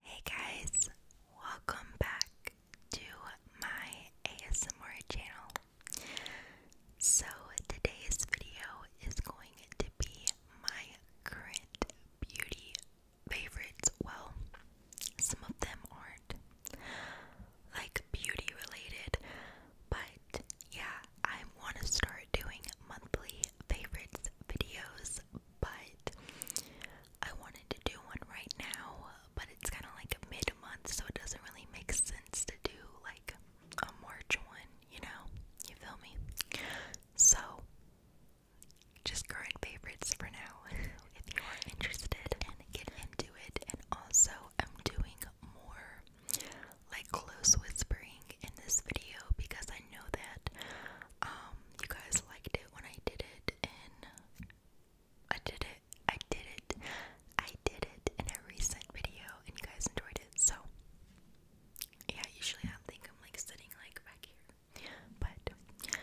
Hey guys, welcome back to my ASMR channel. So, today's video is going to be my current beauty favorites. Well, some of them aren't like beauty related, but yeah, I want to start doing monthly favorites videos but I wanted to do one right now, but it's kind of like mid month, so it doesn't really make sense to do like a March one, you know? You feel me? So, just current favorites for now if you are interested and get into it. And also, I'm doing more like close whispering in this video because I know that um, you guys liked it when I did it, and I did it, I did it, I did it in a recent video, and you guys enjoyed it. So, yeah, usually I think I'm like sitting like back here, but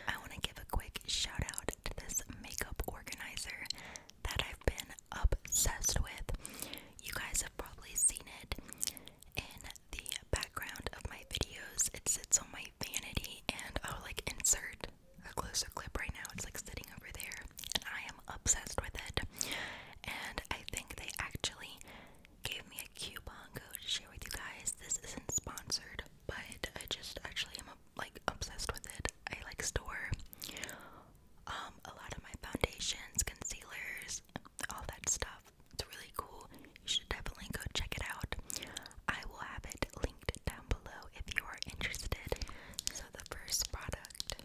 I want to give a quick shout out to this makeup organizer that I've been obsessed with. You guys have probably seen it in the background of my videos. It sits on my vanity, and I'll like insert a closer clip right now. It's like sitting over there, and I am obsessed with it. And I think they actually gave me a coupon code to share with you guys. This isn't sponsored, but I just actually am like obsessed with it. I like store um a lot of my foundations, concealers, all that stuff. It's really cool. You should definitely go check it out. I will have it linked down below if you are interested. So the first product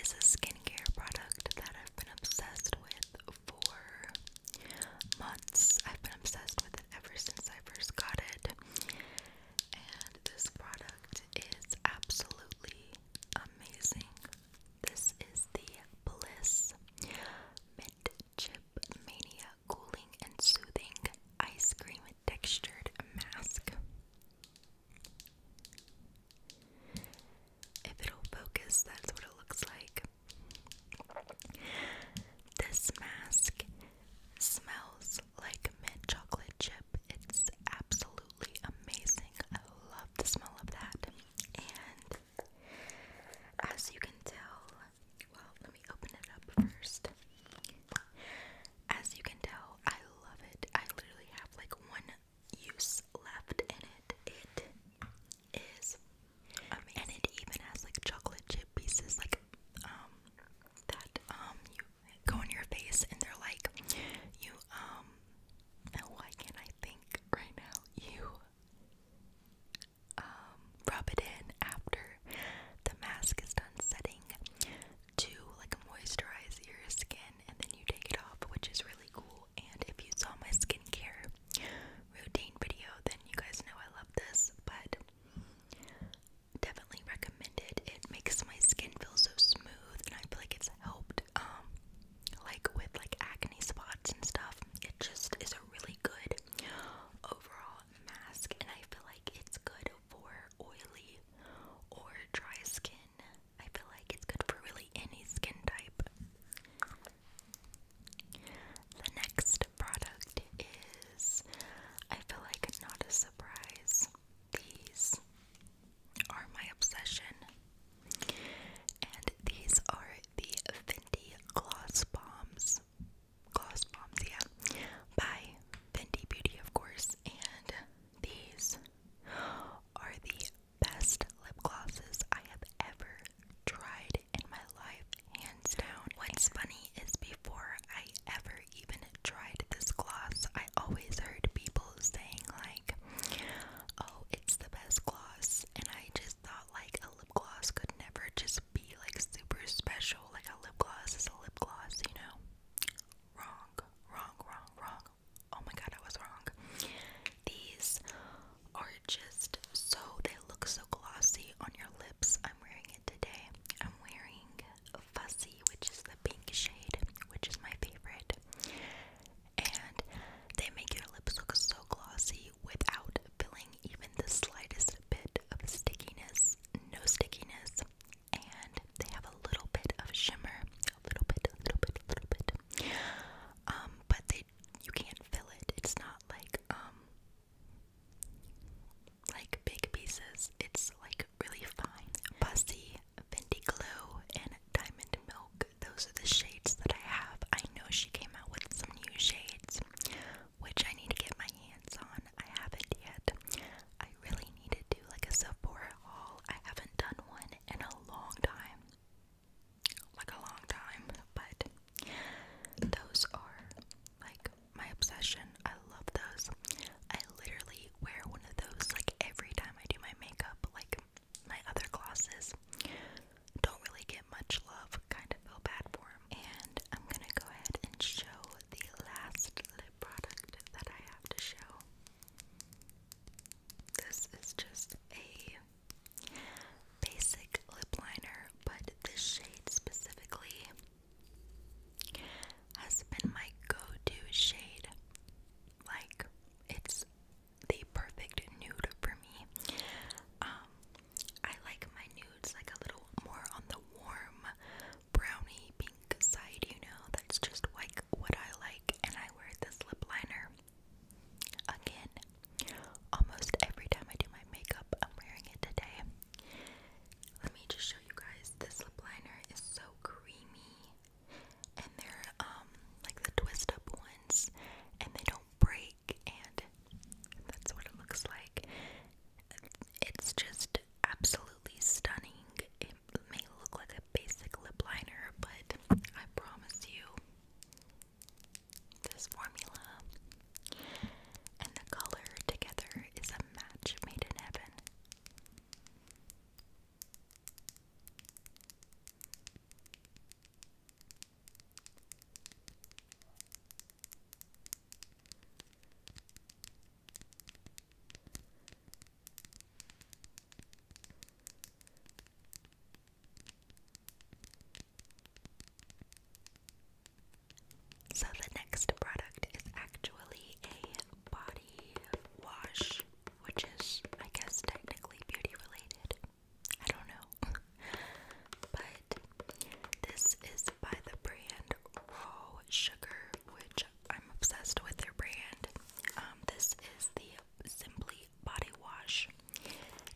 is a skincare product that I've been obsessed with for months. I've been obsessed with it ever since I first got it. And this product is absolutely amazing. This is the Bliss Mint Chip Mania Cooling and Soothing Ice Cream Textured Mask. If it'll focus, that's what it looks like. This mask smells like mint chocolate chip. It's absolutely amazing. I love the smell of that. And as you can tell, well, let me open it up first. As you can tell, I love it. I literally have like one use left in it. It is And it even has like chocolate chip pieces like um that um go on your face and they're like you um now, why can't I think right now? You um, rub it in after the mask is done setting to like moisturize your skin, and then you take it off, which is really cool. And if you saw my skincare routine video, then you guys know I love this, but definitely recommend it. It makes my skin feel so smooth, and I feel like it's helped um, like with like acne spots and stuff. It just is a really good overall mask, and I feel like it's good for oily or dry skin. I feel like it's good for really any skin type. The next product is, I feel like, not a surprise. These are my obsession. And these are the Fenty Gloss Bombs. Gloss Bombs, yeah. By Fenty Beauty, of course. And these are the best lip glosses I have ever tried in my life, hands down. What's funny is before I ever even tried this gloss, I always heard people saying, like, oh, it's the best gloss and I just thought like a lip gloss could never just be like super special. Like a lip gloss is a lip gloss, you know? Wrong, wrong, wrong, wrong. Oh my god, I was wrong. These are just so they look so glossy on your lips. I'm wearing it today. I'm wearing Fussy, which is the pink shade, which is my favorite and they make your lips look so glossy without feeling even the slightest bit of stickiness, no stickiness, and they have a little bit of shimmer, a little bit, a little bit, a little bit. Um, but they you can't fill it. It's not like um like big pieces. It's like really fine, fussy, Fenty glue, and Diamond Milk. Those are the shades that I have. I know she came out with some new shades, which I need to get my hands on. I haven't yet. I really need to do like a Sephora haul. I haven't done one in a long time. Like a long time, but those are like my obsession. I love those. I literally wear one of those like every time I do my makeup. Like my other classes don't really get much love, kind of feel bad for them. And I'm gonna go ahead and show the last lip product that I have to show. This is just a basic lip liner, but this shade specifically has been my go to shade. Like, it's the perfect nude for me. Um, I like my nudes like a little more on the warm brownie pink side, you know. That's just like what I like, and I wear this lip liner. Again, almost every time I do my makeup, I'm wearing it today. Let me just show you guys. This lip liner is so creamy and they're um like the twist up ones and they don't break and that's what it looks like. It's just absolutely stunning. It may look like a basic lip liner, but I promise you this formula and the color together is a match made in heaven. So, the next product is actually a body wash, which is, I guess, technically beauty related. I don't know. but this is by the brand Raw Sugar, which I'm obsessed with their brand. Um, this is the Simply Body Wash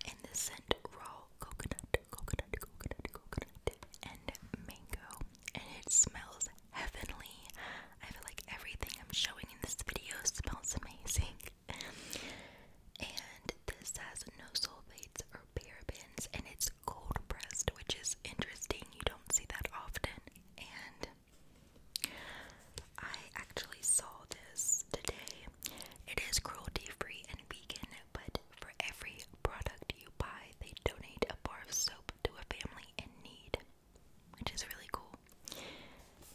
in the scent Raw Coconut, Coconut, Coconut, Coconut, and Mango. And it smells heavenly. I feel like everything I'm showing in this video smells amazing and this has no sulfates or parabens, and it's cold pressed, which is interesting. You don't see that often. And I actually saw this today. It is cruelty free and vegan, but for every product you buy, they donate a bar of soap to a family in need which is really cool.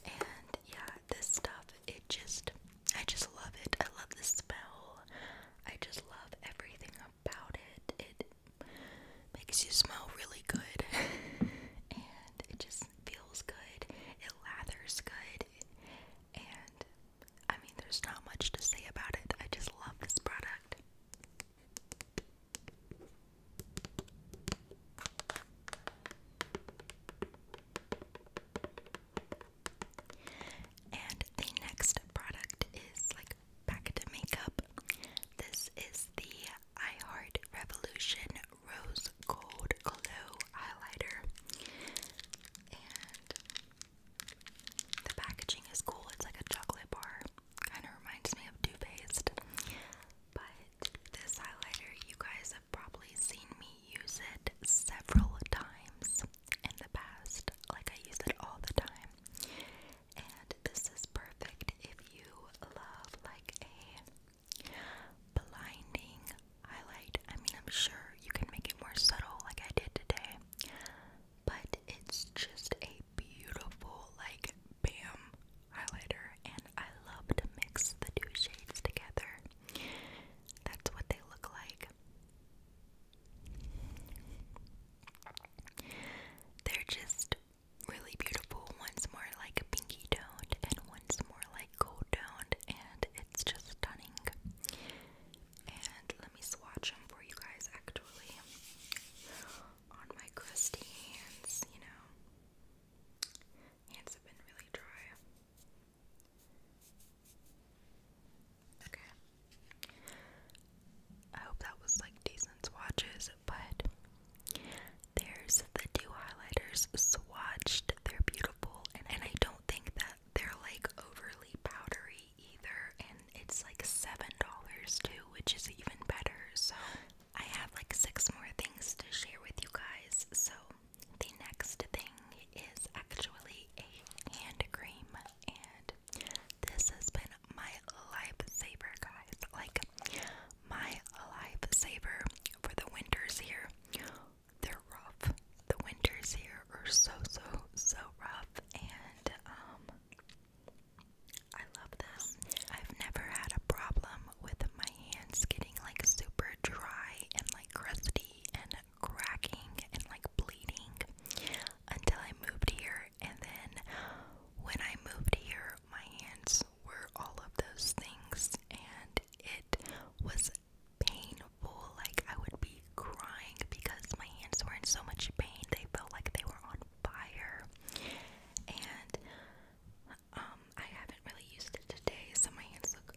And yeah, this stuff, it just, I just love it. I love the smell. I just love everything about it. It makes you smell really good. and it just feels good. It lathers good. And I mean, there's not much to say about it. I just love this product. And the next product is like back makeup. This is the I Heart Revolution Rose Gold Glow Highlighter. And the packaging is cool. It's like a chocolate bar. Kind of reminds me of Too But this highlighter, you guys, have probably seen me use it several times in the past. Like, I use it all the time. And this is perfect if you love, like, a blinding highlight. I mean, I'm sure you can make it more subtle, like I did today. But it's just a beautiful, like, bam highlighter, and I love to mix the two shades together. That's what they look like. They're just really beautiful. Once more like a pinky toned, and once more like gold toned, and it's just stunning. And let me swatch them for you guys actually on my crusty hands, you know. Hands have been really dry. Okay. I hope that was like decent swatches, but there's the two highlighters swatched. They're beautiful, and, and I don't think that they're like overly powdery either. And it's like $7 too, which is even better. So I have like six more things to share with you guys. So, the next thing is actually a hand cream, and this has been my lifesaver, guys. Like, my lifesaver for the winters here. They're rough. The winters here are so, so, so rough, and um, I love this. I've never had a problem with my hands getting like super dry and like crusty and cracking and like bleeding until I moved here. And then when I moved here, my hands were all of those things and it was painful. Like I would be crying because my hands were in so much pain, they felt like they were on fire. And um, I haven't really used it today, so my hands look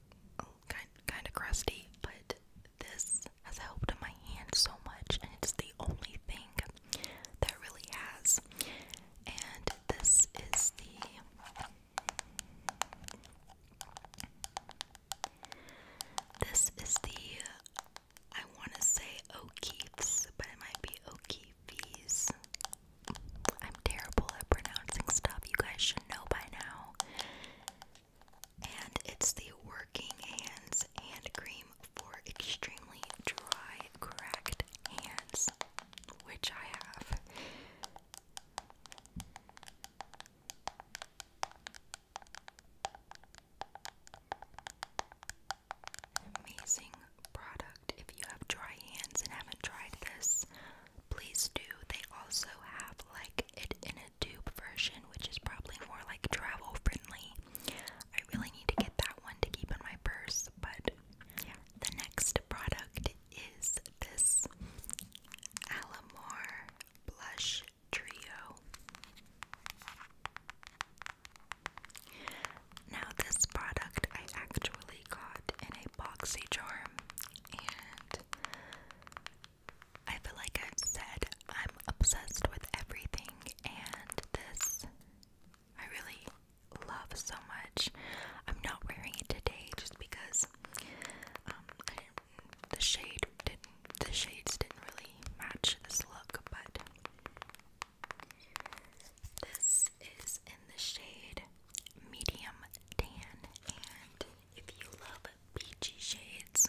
kind kind of crusty. But this has helped my hand so much, and it's the only thing that really has. And this is the this is the I want to say O'Keefe's, but it might be O'Keefe. Leafys. I'm terrible at pronouncing stuff. You guys should know by now. And it's the Working Hands Hand Cream for extremely dry, cracked hands, which I have. Amazing product. If you have dry hands and haven't tried this, please do. They also have like it in a tube version, which is probably more like travel friendly. I really need to get that one to keep in my purse, but yeah. The next product is this Alamar Blush Trio. Now, this product I actually got in a boxy charm, and I feel like I've said I'm obsessed with everything, and this I really love so much. I'm not wearing it today just because um, the shade didn't the shades didn't really match this look, but. This is in the shade medium tan, and if you love peachy shades,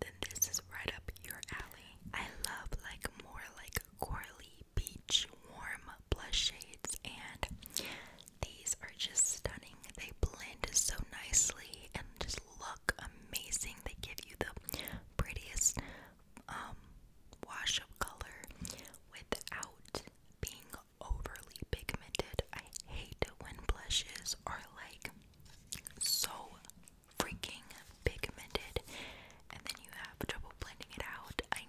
then this is right up your alley. I love like more like corally peach warm blush shades, and these are just stunning. They blend so nicely and just look amazing. They give you the prettiest um, wash of color without being overly pigmented. I hate when blushes are like so freaking pigmented and then you have trouble blending it out. I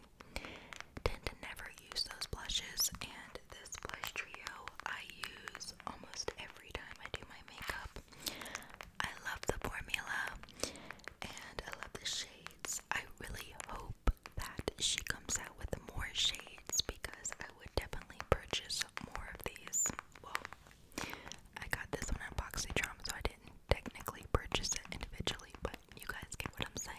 tend to never use those blushes and this blush trio I use almost every time I do my makeup. I love the formula and I love the shades. I really hope that she comes out with more shades because I would definitely purchase more of these. Well, I got this one on drama, so I didn't technically purchase it individually, but you guys get what I'm saying.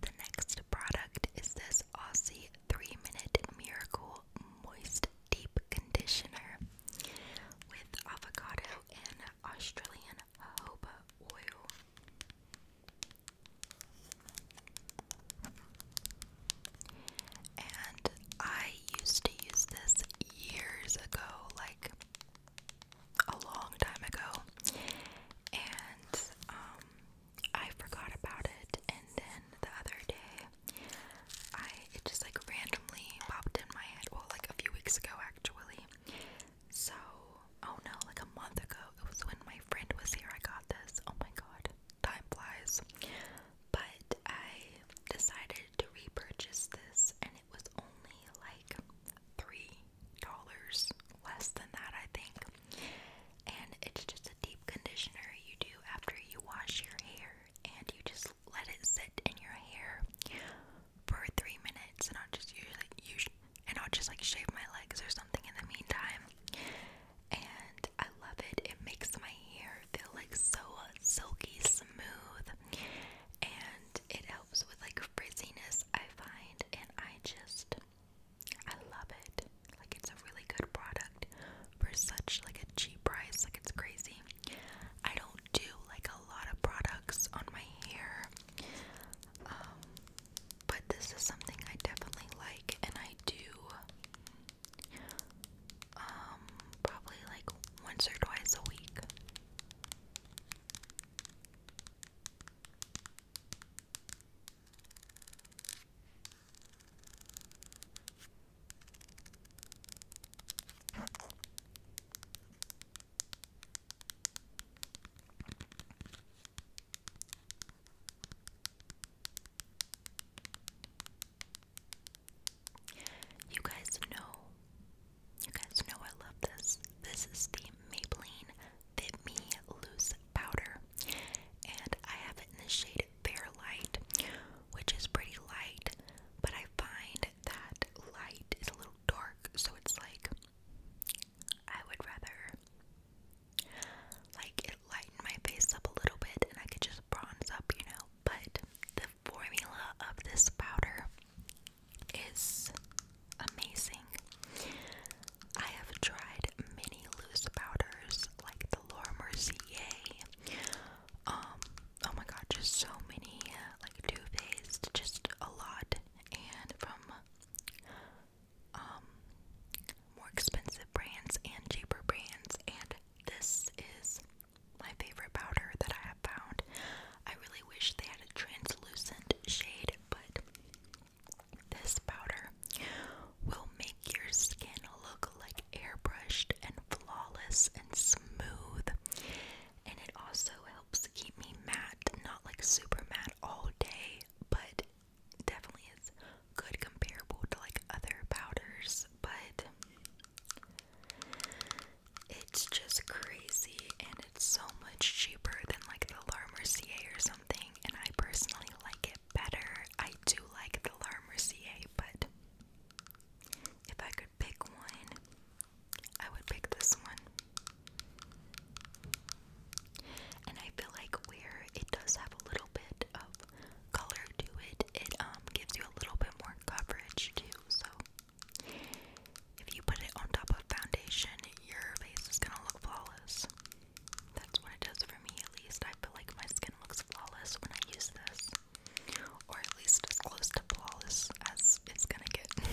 The next product is this Aussie 3 Minute Miracle Moist Deep Conditioner with avocado and Australian jojoba oil. And I used to use this years ago, like a long time ago. And um I forgot about it and then the other day I it just like randomly popped in my head. Well like a few weeks ago actually. So oh no, like a month ago. It was when my friend was here I got this. Oh my god time flies. But I decided to repurchase this, and it was only like three dollars less than that, I think. And it's just a deep conditioner you do after you wash your hair, and you just let it sit in your hair for three minutes. And I'll just usually, usually and I'll just like shave my legs or something in the meantime and I love it. It makes my hair feel like so silky smooth and it helps with like frizziness I find and I just I love it. Like it's a really good product for such like a cheap price. Like it's crazy. I don't do like a lot of products on my hair. Um, but this is something I definitely like and I do um, probably like once or twice a week. You guys know, you guys know I love this. This is the Maybelline Fit Me Loose Powder, and I have it in the shade Fair Light, which is pretty light, but I find that light is a little dark, so it's like I would rather like it lighten my face up a little bit and I could just bronze up, you know but the formula of this powder is amazing. I have tried many loose powders like the Laura Mercier. Um, oh my god, just so many like Too Faced, just a lot, and from um more expensive brands and cheaper brands and this is my favorite powder that I have found. I really wish they had a translucent shade, but this powder will make your skin look like airbrushed and flawless and smooth. And it also helps keep me matte, not like super matte all day, but definitely is good comparable to like other powders, but it's just crazy and it's so much cheaper than like the La Mercier or something. And I personally like it better. I do like the La Mercier, but if I could pick one, I would pick this one. And I feel like where it does have a little bit of color to it, it um gives you a little bit more coverage too. So if you put it on top of foundation, your face is gonna look flawless. That's what it does for me, at least. I feel like my skin looks flawless when I use this, or at least as close to flawless as it's gonna get.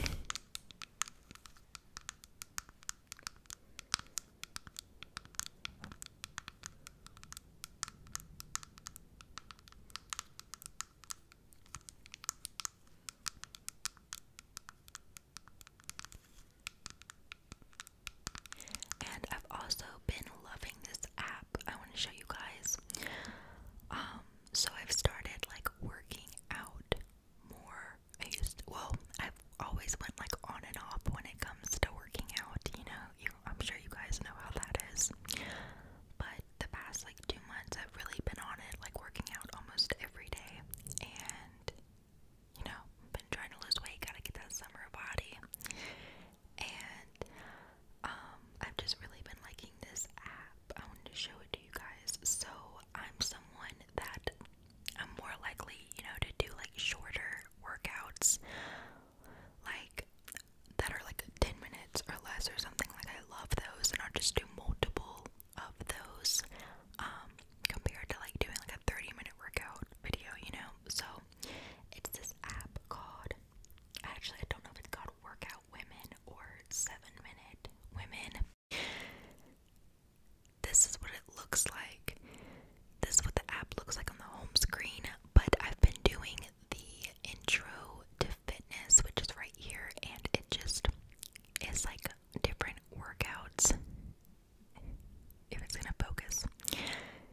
And I've also been loving this app. I want to show you guys. Um, so I've started like working out more. I used to, well, I've always went like on and off when it comes to working out, you know. I'm sure you guys know how that is. But the past like two months I've really been on it, like working out almost every day and you know, been trying to lose weight, gotta get that summer body. And um, I've just really been liking this app. I wanted to show it to you guys. So I'm someone that I'm more likely, you know, to do like shorter workouts like that are like 10 minutes or less or something like I love those and i just do multiple of those um, compared to like doing like a 30 minute workout video you know so it's this app called actually I don't know if it's called workout women or 7 minute women this is what it looks like this is what the app looks like on the home screen, but I've been doing the intro to fitness, which is right here, and it just is like different workouts. If it's gonna focus,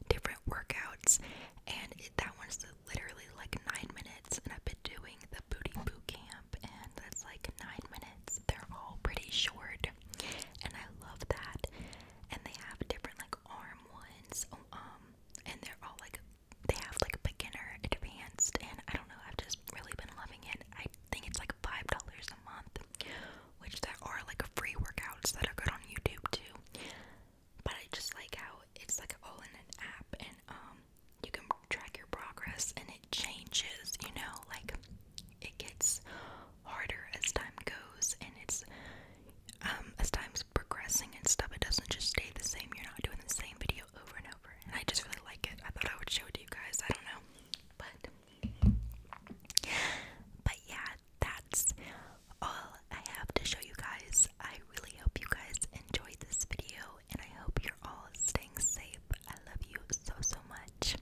different workouts, and it, that one's literally like nine minutes, and I've been doing the booty boot camp, and that's like nine minutes. They're all pretty short, and I love that. And they have different like like arm ones, um, and they're all like they have like beginner, advanced, and I don't know. I've just really been loving it. I think it's like five dollars a month, which there are like free workouts that are good on YouTube too. But I just like how it's like all in an app, and um, you can track your progress, and it changes. You know, like it gets harder as time goes and it's um, as time's progressing and stuff it doesn't just stay the same you're not doing the same video over and over and I just really like it I thought I would show it to you guys I don't know but but yeah that's all I have to show you guys I really hope you guys enjoyed this video and I hope you're all staying safe I love you so so much